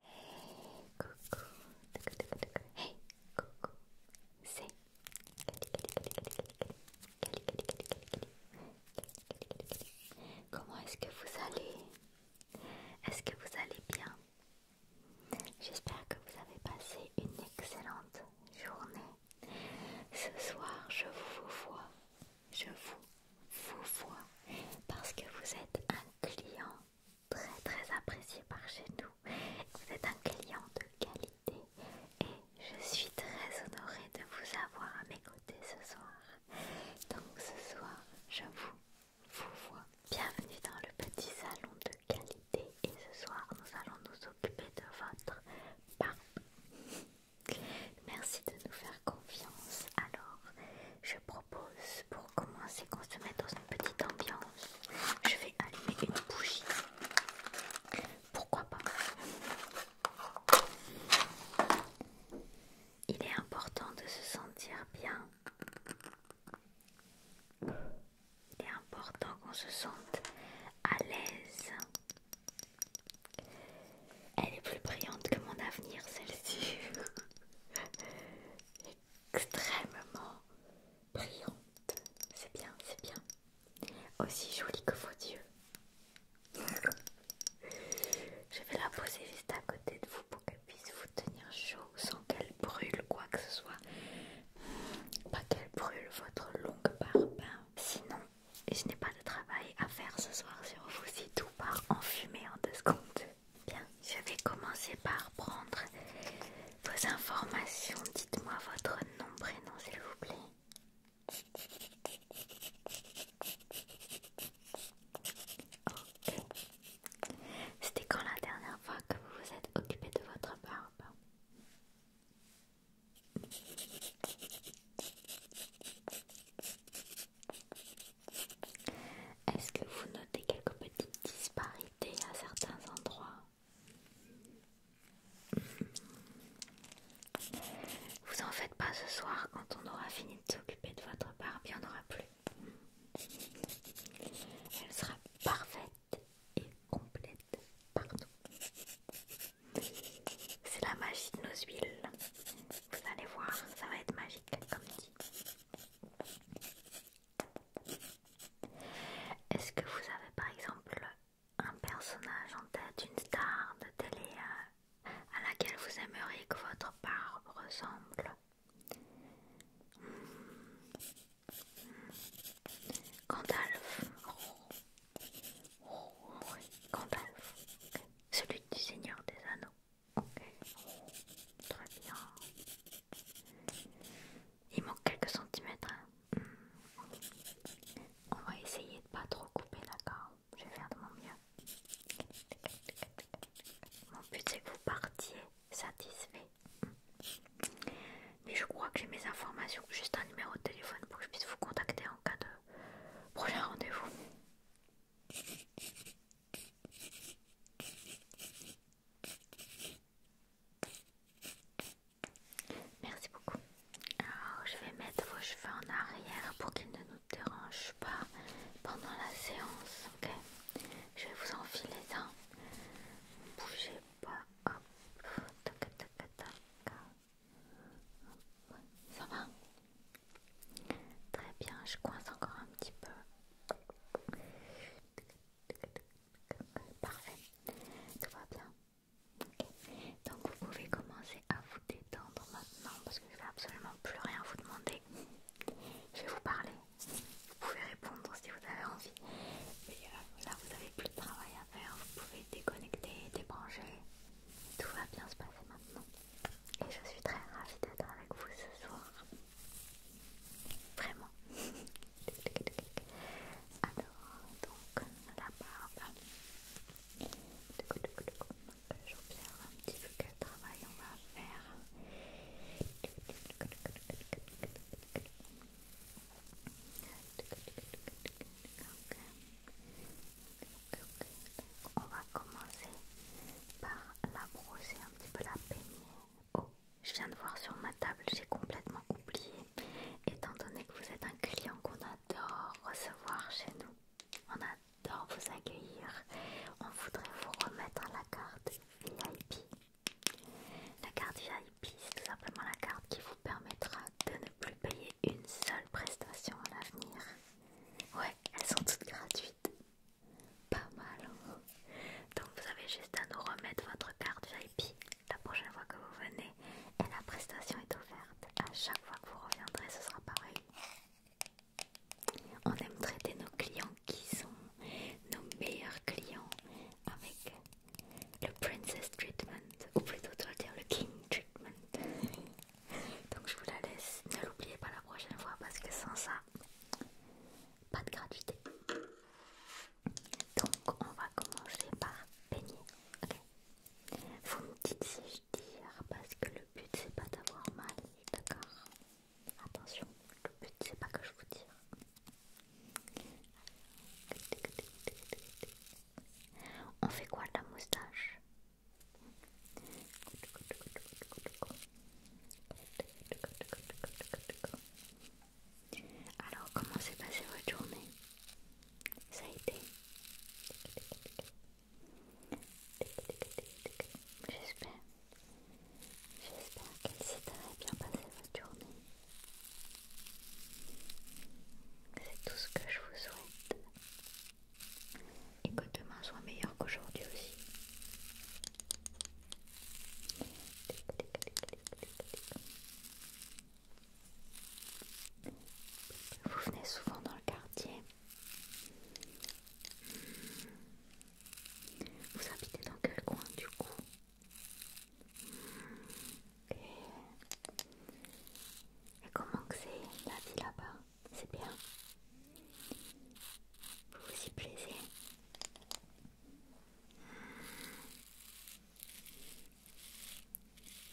Hey coucou, hey coucou, c'est Comment est-ce que vous allez Est-ce que vous allez bien J'espère que vous avez passé une excellente journée. Ce soir, je vous vois, je vous, vous vois, parce que vous êtes un client très très apprécié par chez nous. Vous êtes un client de qualité et je suis très honorée de vous avoir à mes côtés ce soir. Donc ce soir, je vous, vois. Bienvenue dans le petit salon de qualité et ce soir, nous allons nous occuper de votre barbe. Merci de nous faire confiance. Alors, je propose pour Comment commencer qu'on se mette dans une petite ambiance, je vais allumer une bougie. Pourquoi pas Il est important de se sentir bien. Il est important qu'on se sente à l'aise. Elle est plus brillante que mon avenir, celle-ci. extrêmement brillante. C'est bien, c'est bien. Aussi jolie que vos yeux. Je vais la poser juste à côté de vous pour qu'elle puisse vous tenir chaud sans qu'elle brûle quoi que ce soit. Pas qu'elle brûle votre longue barbe. Sinon, je n'ai pas de travail à faire ce soir sur vous si tout part en en deux secondes. Bien, je vais commencer par prendre vos informations. Dites-moi votre nom, prénom, s'il vous plaît. Ok. C'était quand la dernière fois que vous vous êtes occupé de votre barbe est-ce que vous notez quelques petites disparités à certains endroits Vous en faites pas ce soir, quand on aura fini de s'occuper de votre barbe, il n'y en aura plus. Elle sera parfaite et complète partout. C'est la magie de nos huiles. Vous allez voir, ça va être magique comme dit. Est-ce que vous avez par exemple un personnage en tête, une star de télé euh, à, laquelle vous aimeriez que votre part ressemble hmm. Gandalf. Gandalf, celui du Seigneur des Anneaux. Ok, très bien. Il manque quelques centimètres. Hein. Hmm. On va essayer de ne pas trop couper, d'accord Je vais faire de mon mieux. Mon but c'est que vous partiez satisfait. Mais je crois que j'ai mes informations, juste un numéro de téléphone pour que je puisse vous contacter en cas de prochain rendez-vous. Merci beaucoup. Alors, je vais mettre vos cheveux en arrière pour qu'ils ne nous dérangent pas pendant la séance. Ok, je vais vous enfiler ça. Ne bougez pas. Tac, tac, Ça va Très bien, je coince encore un petit peu. Parfait, tout va bien. Donc vous pouvez commencer à vous détendre maintenant parce que je vais absolument plus rien vous demander. Je vais vous parler. Vous pouvez répondre si vous avez envie. Et euh, là vous n'avez plus de travail à faire. Vous pouvez déconnecter, débrancher. Tout va bien se passer maintenant. Et je suis très ravie d'être avec vous ce soir. Vraiment. Alors, donc, la barbe. J'observe un petit peu quel travail on va faire. On va commencer par la brosser un petit peu, la peigner. Oh, je viens de voir sur ma table, j'ai complètement oublié. Étant donné que vous êtes un client qu'on adore recevoir chez nous, on adore vous accueillir. On voudrait vous remettre la carte VIP. La carte VIP, c'est tout simplement la carte qui vous permettra de ne plus payer une seule prestation à l'avenir. Ouais, elles sont toutes gratuites. Pas mal. Donc vous avez juste à nous remettre votre carte VIP la prochaine fois que vous venez et la prestation est offerte. À chaque fois que vous reviendrez, ce sera pareil. On aime traiter nos clients qui sont nos meilleurs clients avec le Princess Treatment, ou plutôt dire le King Treatment. Donc je vous la laisse, ne l'oubliez pas la prochaine fois parce que sans ça, pas de gratuité. Donc on va commencer par peigner. Vous me dites si je tire parce que le but c'est pas d'avoir mal, d'accord Attention, le but c'est pas que je vous tire. On fait quoi de la moustache alors, comment s'est passée votre journée Ça a été J'espère. J'espère qu'elle s'est bien passé votre journée. C'est tout ce que je vous souhaite et que demain soit meilleur qu'aujourd'hui aussi. Vous venez souvent dans le quartier. Hmm. Vous habitez dans quel coin du coup Et, comment que c'est la vie là-bas c'est bien. Vous vous y plaisez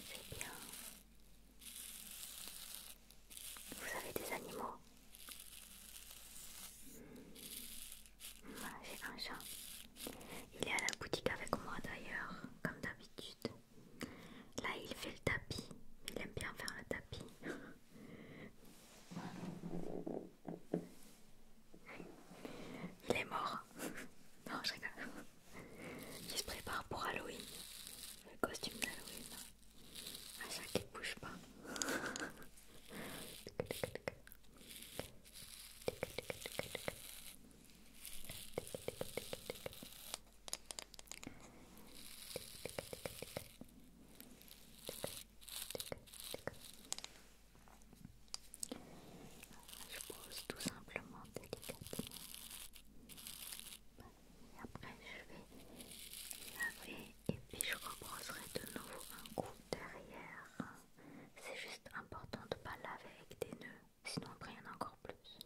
C'est bien. Vous avez des animaux J'ai un chat. Il est à la boutique avec moi d'ailleurs, comme d'habitude. Là, il fait le tapis. Il aime bien faire le tapis. Il est mort. non, je rigole. Il se prépare pour Halloween. Le costume d'Halloween. Ah chaque il bouge pas. Je pose tout simplement délicatement. Et après, je vais laver et puis je rebrosserai de nouveau un coup derrière. C'est juste important de ne pas laver avec des nœuds, sinon en a encore plus.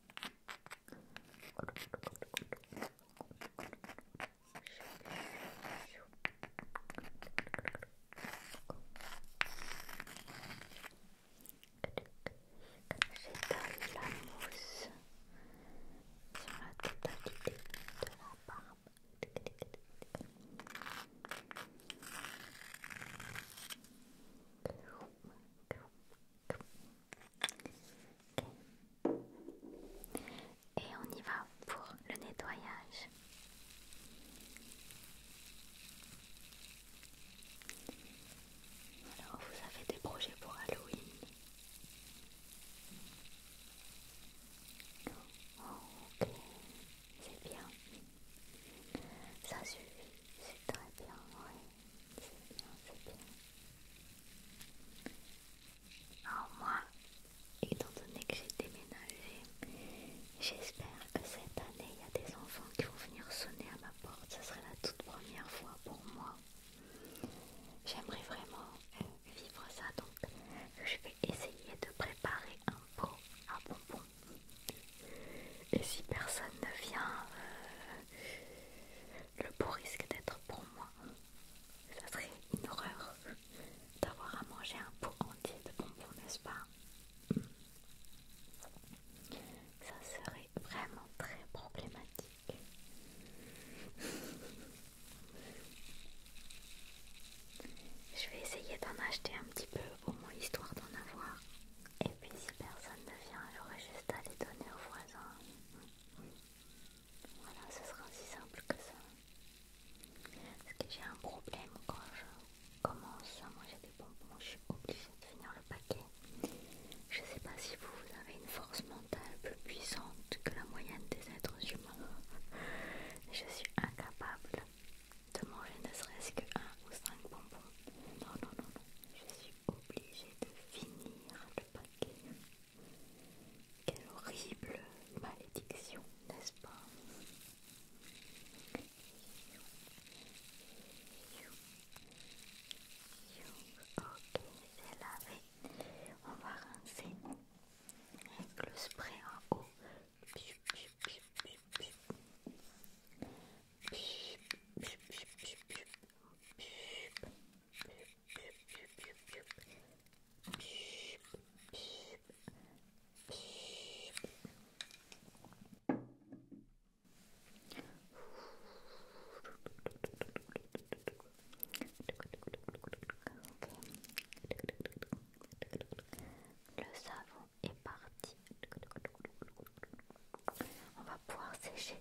J'étale la mousse sur la totalité de la barbe. Et on y va pour le nettoyage. Alors, vous avez des projets pour Halloween Ok, c'est bien. Ça suffit, c'est très bien, oui. C'est bien, c'est bien. Alors moi, étant donné que j'ai déménagé, j'espère que cette année il y a des enfants qui vont venir sonner à ma porte. Ce serait la toute première fois pour moi. J'aimerais vraiment euh, vivre ça, donc je vais essayer de préparer un pot à bonbons. Et si personne ne vient, euh, le pot risque d'être pour moi. Ça serait une horreur d'avoir à manger un pot entier de bonbons, n'est-ce pas Ça serait vraiment très problématique. Je vais essayer d'en acheter un petit peu, au moins histoire d'en avoir. Et puis si personne ne vient, j'aurai juste à les donner aux voisins. Voilà, ce sera aussi simple que ça. Parce que j'ai un problème quand je commence à manger des bonbons, je suis obligée de finir le paquet. Je sais pas si vous, avez une force mentale plus puissante que la moyenne des êtres humains. Je suis incapable de manger ne serait-ce que 1 ou 5 bonbons. Non, non, non, non. Je suis obligée de finir le paquet. Quelle horrible malédiction, n'est-ce pas Ok, c'est lavé. On va rincer avec le spray en haut. Le savon est parti. On va pouvoir sécher.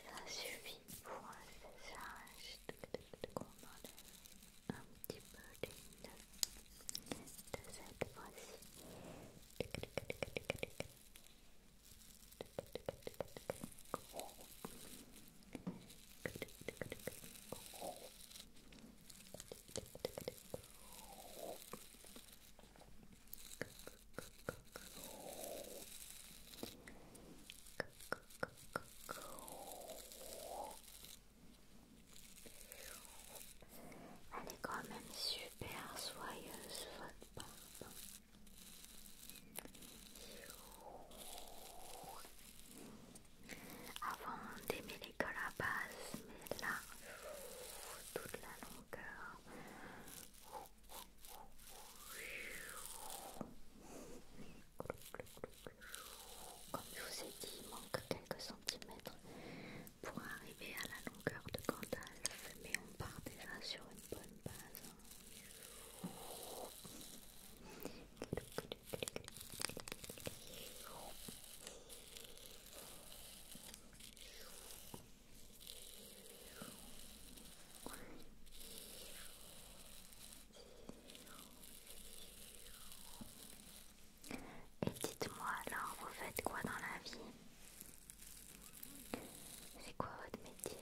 Ça suffit pour un visage qu'on enlève un petit peu des de cette fois-ci. Elle est quand même super soyeuse, avant on les que la base, mais là, toute la longueur. Comme je vous ai dit, il manque quelques centimètres pour arriver à la longueur de Gandalf, mais on part déjà sur une bonne base. Hein. Et dites-moi alors, vous faites quoi dans la vie C'est quoi votre métier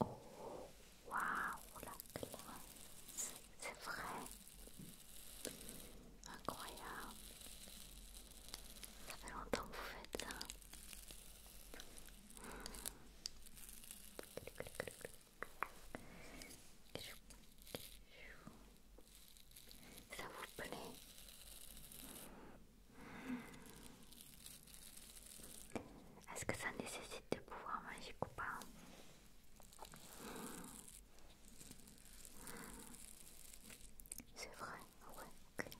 Waouh, la clé, c'est vrai, incroyable. Ça fait longtemps que vous faites ça. Ça vous plaît est-ce que ça nécessite de pouvoir magique ou pas C'est vrai, ouais, ok.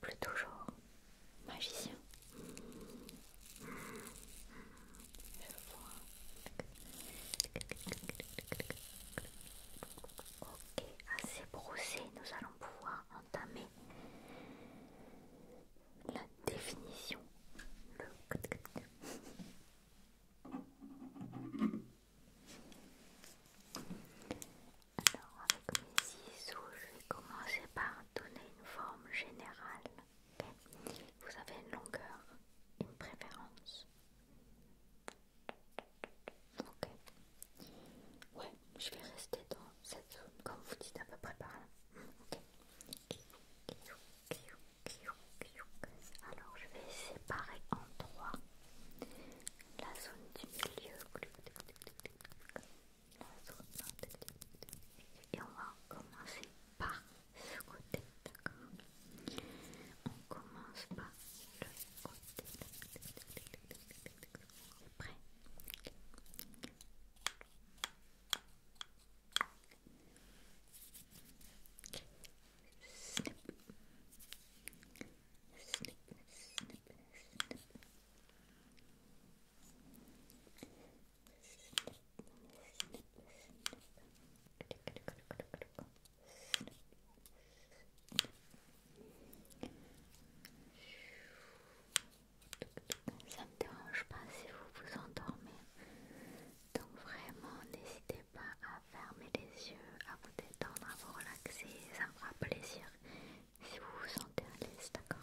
Plus toujours magicien. Ok, assez brossé, nous allons pouvoir entamer la définition. Le... Alors avec mes je vais commencer par donner une forme générale. Vous avez une longueur, une préférence. Ok. Ouais, je vais rester dans cette zone, comme vous dites, à peu près par là. Ok. Alors, je vais séparer en trois la zone du milieu. Et on va commencer par ce côté, d'accord on commence par le côté. Prêt. snip, ça me dérange pas si vous vous endormez. Donc vraiment, n'hésitez pas à fermer les yeux, à vous détendre, à vous relaxer. Ça me fera plaisir si vous vous sentez à l'aise, d'accord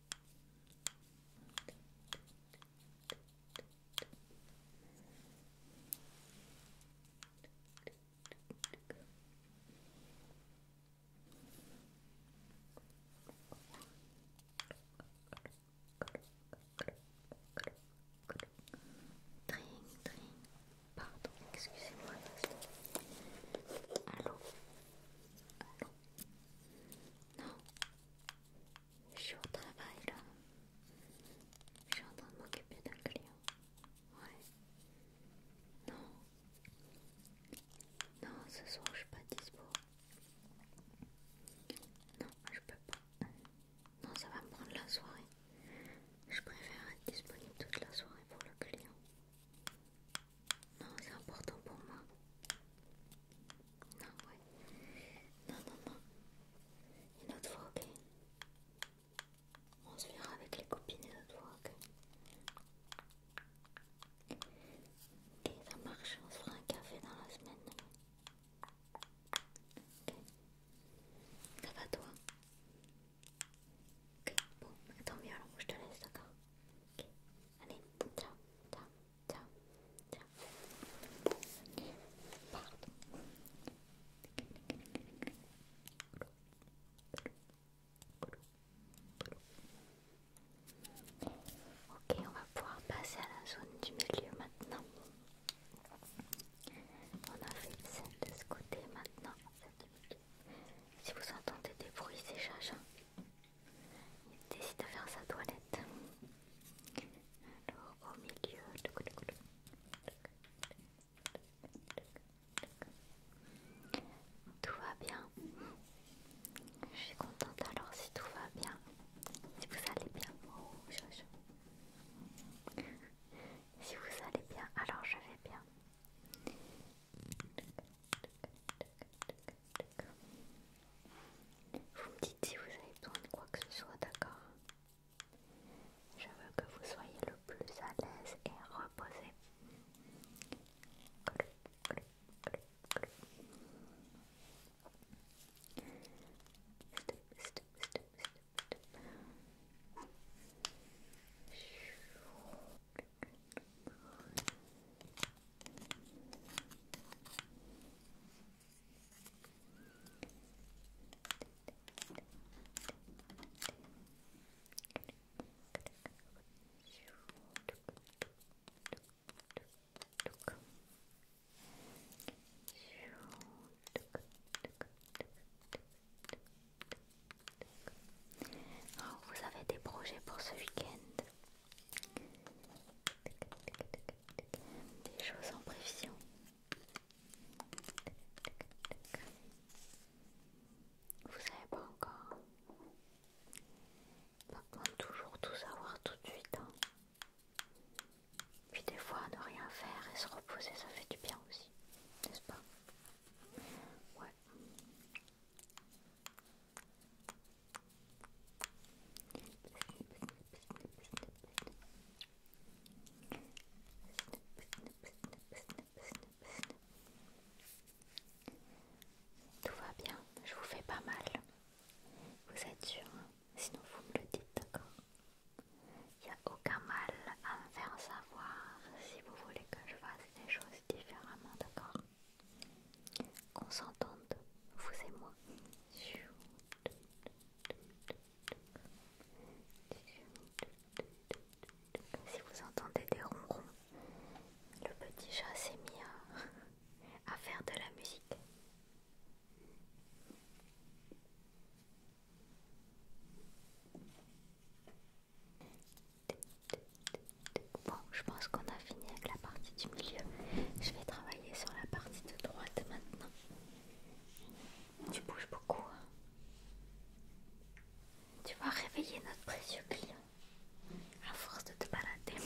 Tring, tring. Pardon, excusez-moi. Allô Allô Non je suis au travail là. Je suis en train de m'occuper d'un client. Ouais. Non. Non, ce soir je suis pas dispo. Non, je peux pas. Non, ça va me prendre la soirée. Je préfère être disponible toute la soirée pour le client. Non, c'est important pour moi. Non, ouais. Non, non, non. Une autre fois, ok. On se verra avec les copines une autre fois, ok. Ok, ça marche. On se fera un café dans la semaine. Ok. Ça va, toi Ok, bon, tant mieux alors, je te laisse, d'accord Ok, allez, ciao, ciao. Tiens, tiens. Pardon. Ok, on va pouvoir passer à la zone du milieu maintenant. On a fait celle de ce côté maintenant. Si vous entendez des bruits, c'est Jaja. Il décide de faire sa toilette. Alors au milieu. Tout va bien. Je suis contente alors si tout va bien. Si vous allez bien. Si vous allez bien, alors je vais bien. Vous me dites si vous avez besoin de quoi que ce soit, d'accord Je veux que vous soyez le plus à l'aise et reposé. Oh, vous avez des projets pour ce week-end des choses en prévision. Vous savez pas encore. Pas besoin toujours tout savoir tout de suite. Hein. Puis des fois, ne rien faire et se reposer, ça fait du bien aussi. N'est-ce pas Ouais. Tout va bien, je vous fais pas mal. Vous êtes sûr hein, Sinon vous me le dites, d'accord Il n'y a aucun mal à me faire savoir si vous voulez que je fasse des choses différemment, d'accord qu'on s'entende, vous et moi. Si vous entendez des ronrons, le petit chat s'est mis à, faire de la musique. Bon, je pense qu'on a fini avec la partie du milieu. Je vais travailler sur la partie de droite maintenant. Tu bouges beaucoup. Hein. tu vas réveiller notre précieux client à force de te balader.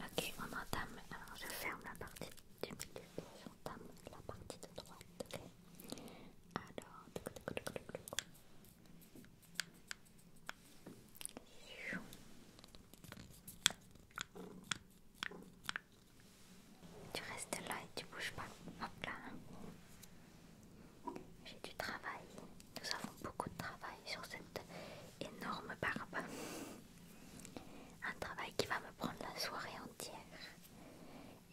Ok, on entame. Alors, je ferme la partie du milieu et j'entame la partie de droite. Ok. Alors, tu restes là et tu bouges pas. Hop J'ai du travail. Nous avons beaucoup de travail sur cette énorme barbe. Un travail qui va me prendre la soirée entière.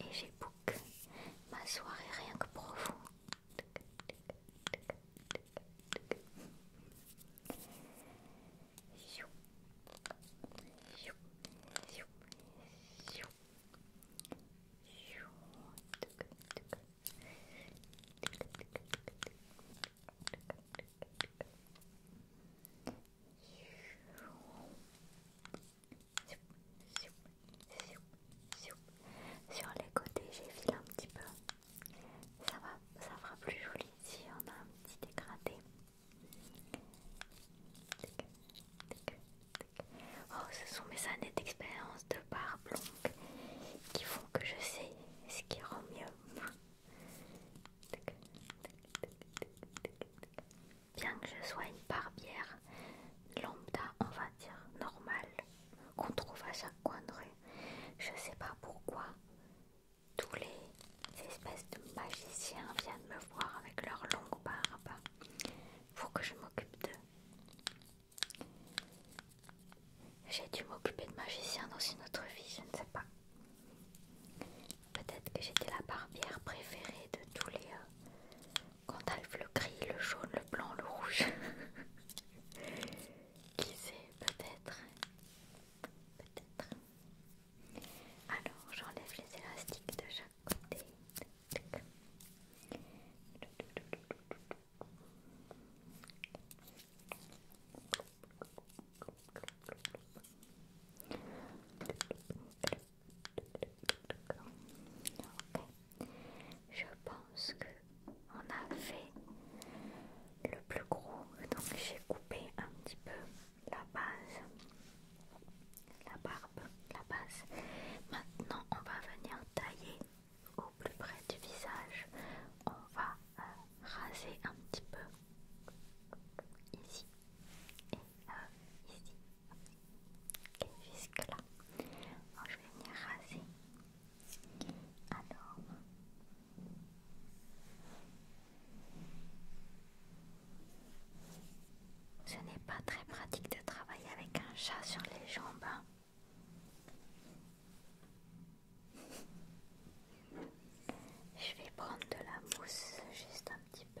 Et j'ai book ma soirée rien que pour vous. Sur les côtés, j'effile un petit peu. Ça, va, ça fera plus joli si on a un petit dégradé. Oh, ce sont mes années d'expérience de barbe longue qui font que je sais ce qui rend mieux. Bien que je sois une barbière lambda, on va dire normale, qu'on trouve à chaque coin de rue, je sais pas pourquoi tous les espèces de magiciens viennent me voir avec leurs longues barbes, pour que je m'occupe d'eux. J'ai dû m'occuper de magiciens dans une autre vie, je ne sais pas. Peut-être que j'étais la barbière préférée de tous les elles euh, Gandalf le gris, le jaune, le blanc, le rouge. Qui sait, peut-être. Peut-être. Alors, j'enlève les élastiques de chaque côté. Je on a fait le plus gros, donc j'ai coupé un petit peu la base, la barbe, la base. Maintenant, on va venir tailler au plus près du visage. On va euh, raser un petit peu ici et euh, ici. et jusque là. je vais venir raser alors. Ce n'est pas très pratique de travailler avec un chat sur les jambes. Hein. Je vais prendre de la mousse juste un petit peu.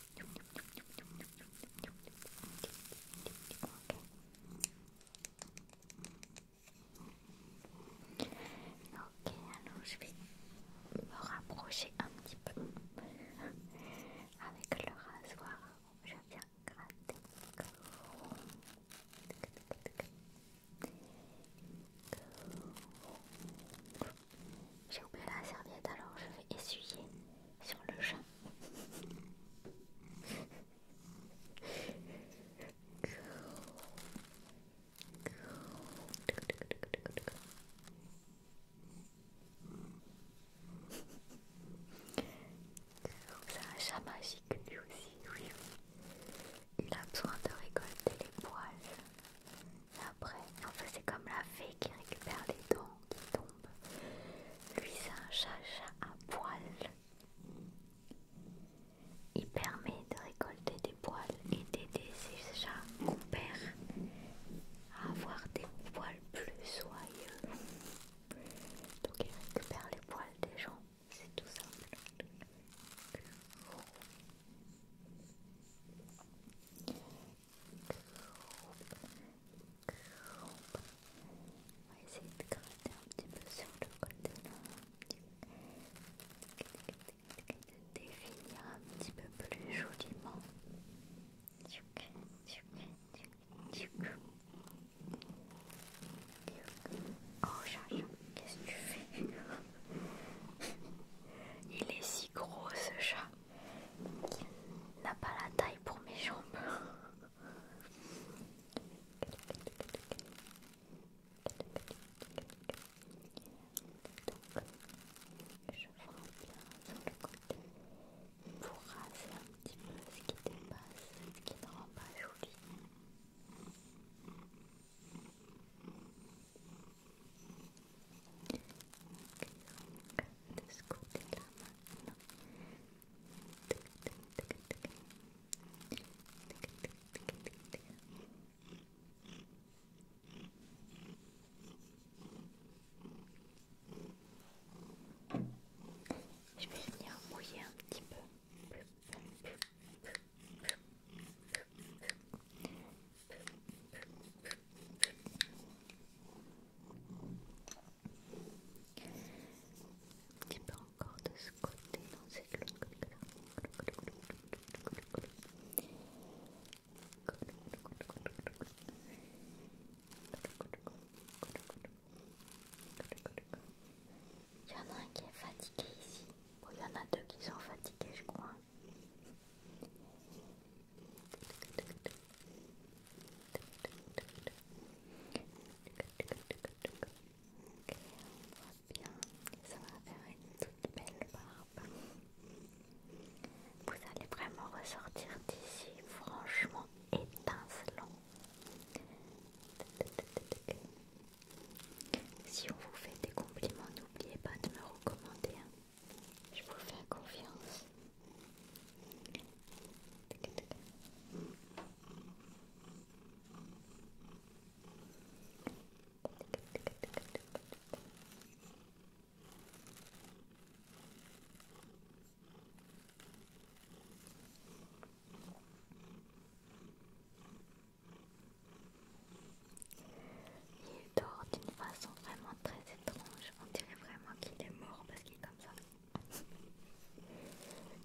Ok, alors je vais me rapprocher un petit peu avec le rasoir. Je viens gratter. J'ai oublié la serviette alors je vais essuyer sur le chat. C'est un chat magique lui aussi, oui. Il a besoin de récolter les poils. après, c'est comme la fée qui récupère les dents qui tombe. Lui, c'est un chat à poils. Il permet de récolter des poils et d'aider ses chats mon à avoir des poils plus soyeux. Donc il récupère les poils des gens, c'est tout simple. On va essayer de gratter un petit peu sur le côté là, de définir un petit peu plus joliment. Oh chat, qu'est-ce que tu fais Il est si gros ce chat qui n'a pas la taille pour mes jambes. je vais bien sur le côté pour raser un petit peu ce qui dépasse, ce qui ne rend pas joli. Je vais venir mouiller un petit peu. Un petit encore de ce côté, dans cette là Il y en a un qui est fatigué ici. ou il y en a deux qui sont fatigués, je crois bien, ça va faire une toute belle barbe. Vous allez vraiment ressortir d'ici, franchement étincelant. Si on vous fait des compliments, n'oubliez pas de me recommander. Hein. Je vous fais confiance. Il dort d'une façon vraiment très étrange. On dirait vraiment qu'il est mort parce qu'il est comme ça.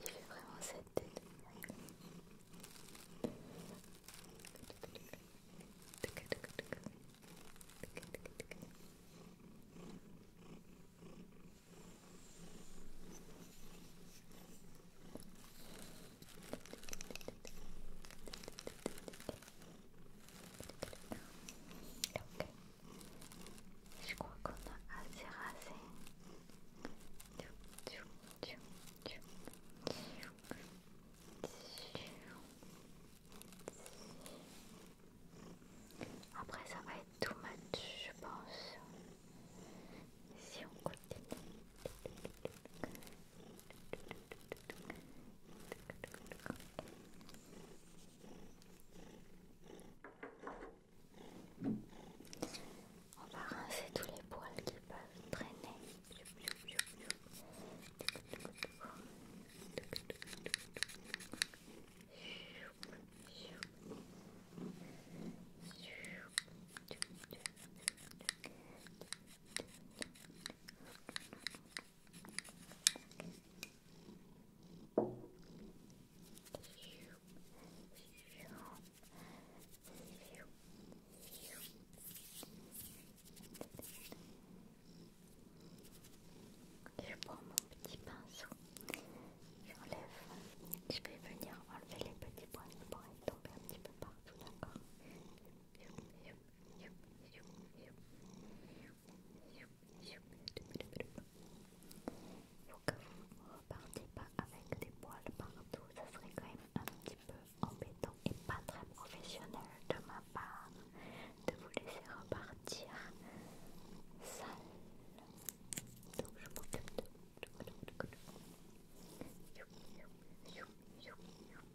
Il fait vraiment cette tête. Ok. Je crois qu'on a assez rasé. Après ça va être tout match je pense. Si on continue. On va rincer tous les poils qui peuvent traîner. Je prends mon petit pinceau, j'enlève, je vais venir enlever les petits points pour aller tomber un petit peu partout, d'accord faut que vous repartez pas avec des poils partout, ça serait quand même un petit peu embêtant et pas très professionnel de ma part de vous laisser repartir sale. Donc je m'occupe de.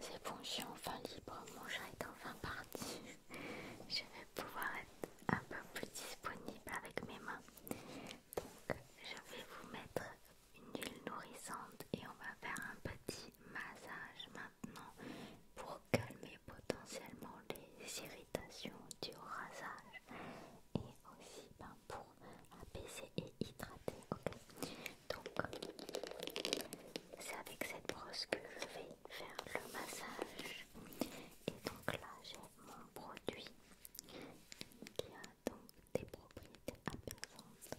C'est bon, je suis enfin libre, mon chat est enfin parti. Je vais pouvoir être un peu plus disponible avec mes mains. Donc, je vais vous mettre une huile nourrissante et on va faire un petit massage maintenant pour calmer potentiellement les irritations du rasage et aussi ben, pour apaiser et hydrater. Donc c'est avec cette brosse que je vais faire le massage. Et donc là j'ai mon produit qui a donc des propriétés apaisantes.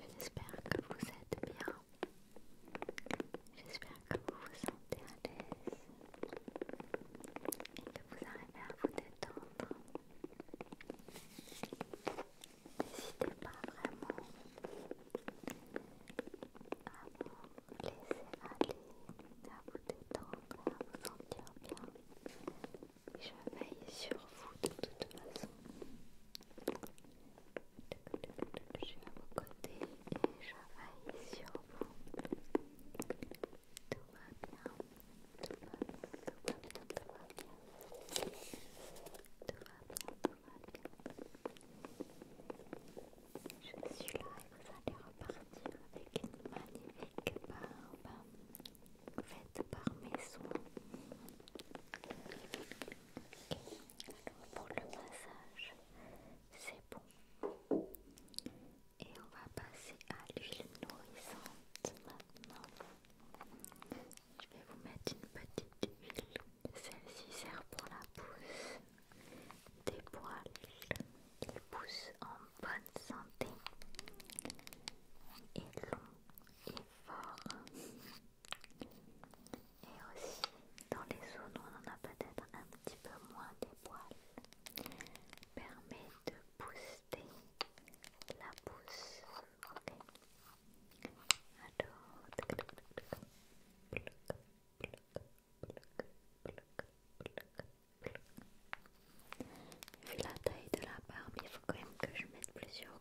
J'espère que vous êtes bien. J'espère que vous vous sentez à l'aise et que vous arrivez à vous détendre. N'hésitez pas vraiment à vous laissez aller, à vous détendre, à vous sentir bien. Je veille sur vous de toute façon. Je suis à vos côtés et je veille sur vous. Tout va bien, tout va bien, tout va bien, tout va bien. Tout va bien, tout va bien. Je suis là et vous allez repartir avec une magnifique barbe faite par mes soins. Alors pour le massage, c'est bon. Et on va passer à l'huile nourrissante maintenant. Je vais vous mettre une petite huile. Celle-ci sert pour la pousse des poils qui poussent en bonne santé et longs et forts. Et aussi dans les zones où on en a peut-être un petit peu moins des poils, permet de booster la pousse. Vu la taille de la barbe, il faut quand même que je mette plusieurs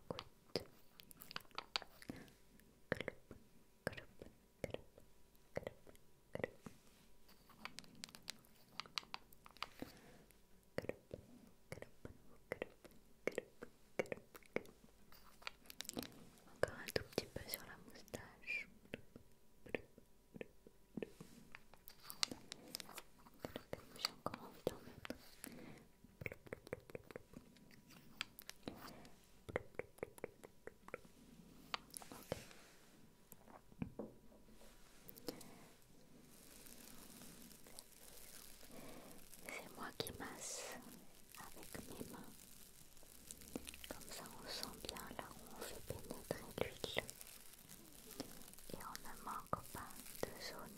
encore un tout petit peu sur la moustache. J'ai encore envie d'en mettre. C'est moi qui masse avec mes mains. Comme ça on sent bien là où on fait pénétrer l'huile. Et on ne manque pas de zone.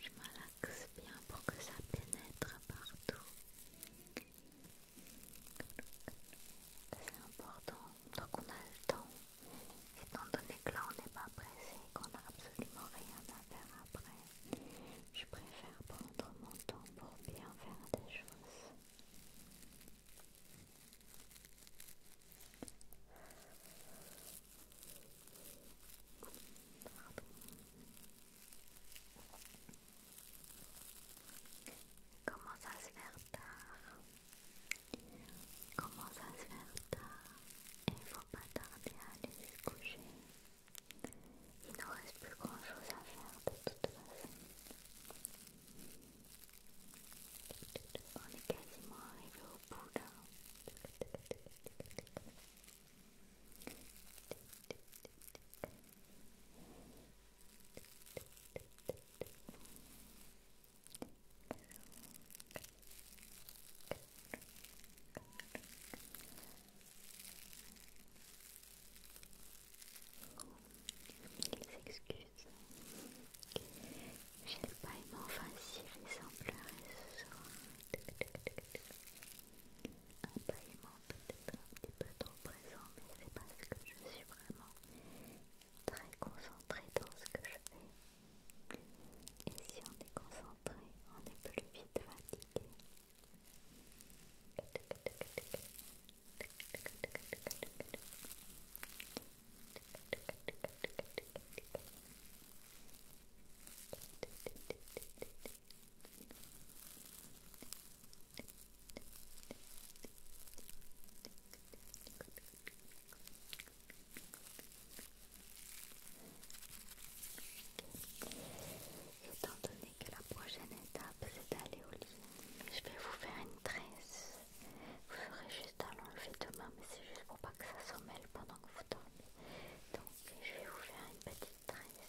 Je malaxe bien pour que ça pénètre partout. C'est important, donc qu'on a le temps, étant donné que là on n'est pas pressé, qu'on n'a absolument rien à faire après. Je préfère prendre mon temps pour bien faire des choses. Il commence à se faire tard. Il commence à se faire tard. Et il faut pas tarder à aller se coucher. Il ne reste plus grand chose à faire de toute façon. On est quasiment arrivé au bout là. Excuse, s'excuse. Je l'ai pas aimé, enfin si, ce soir peut-être un petit peu trop présent, mais c'est parce que je suis vraiment très concentrée dans ce que je fais. Et si on est concentré, on est plus vite fatigué. Étant donné que la prochaine étape c'est d'aller au lit, je vais vous faire une tresse. Vous ferez juste à l'enlever demain, mais c'est juste pour pas que ça s'en mêle pendant que vous dormez. Donc je vais vous faire une petite tresse.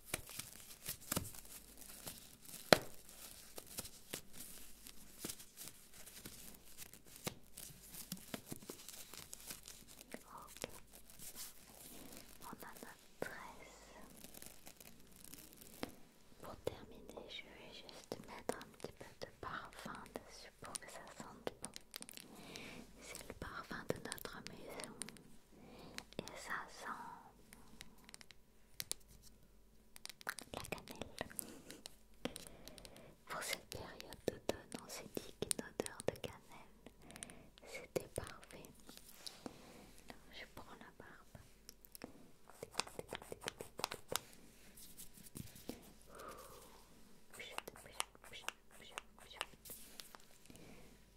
On a notre tresse. Pour terminer, je vais juste mettre un petit peu de parfum dessus pour que ça sente bon. C'est le parfum de notre maison et ça sent la cannelle. Pour cette période d'automne, on s'est dit qu'une odeur de cannelle, c'était parfait. je prends la barbe. Ouh, pchut, pchut, pchut, pchut, pchut.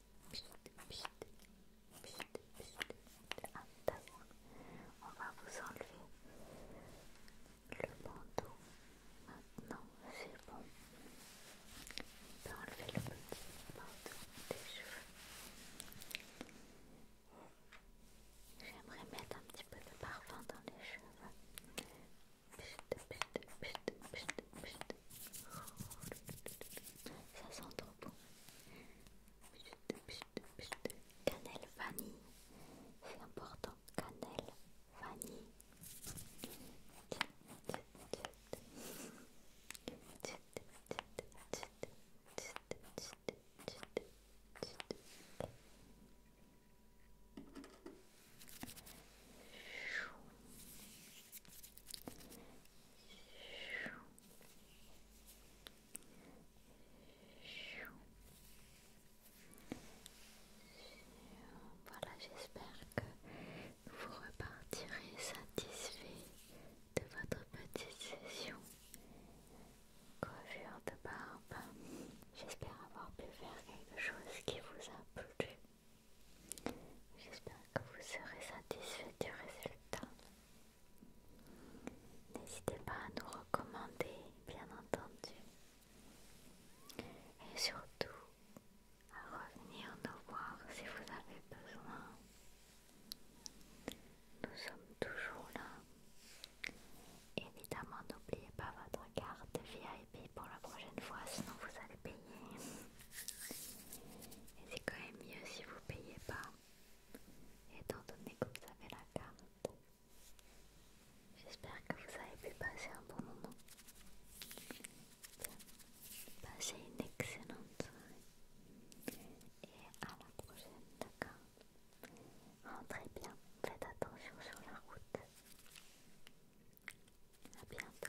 On va vous enlever le bandeau. Maintenant, c'est bon. On peut enlever le petit bandeau des cheveux. J'aimerais mettre un petit peu de parfum dans les cheveux. Ça sent trop bon. Cannelle vanille, c'est important. Cannelle vanille. Voilà, j'espère que vous repartirez satisfait de votre petite session coiffure de barbe. J'espère avoir pu faire quelque chose qui vous a plu. J'espère que vous serez satisfait du résultat. N'hésitez pas à nous recommander, bien entendu. Et surtout, à revenir nous voir si vous avez besoin. Nous sommes toujours là. Évidemment, n'oubliez pas votre carte VIP pour la prochaine fois, sinon vous allez payer. Et c'est quand même mieux si vous payez pas, étant donné que vous avez la carte. J'espère que vous avez pu passer un bon moment. Passez une excellente soirée et à la prochaine, d'accord Rentrez bien, faites attention sur la route à bientôt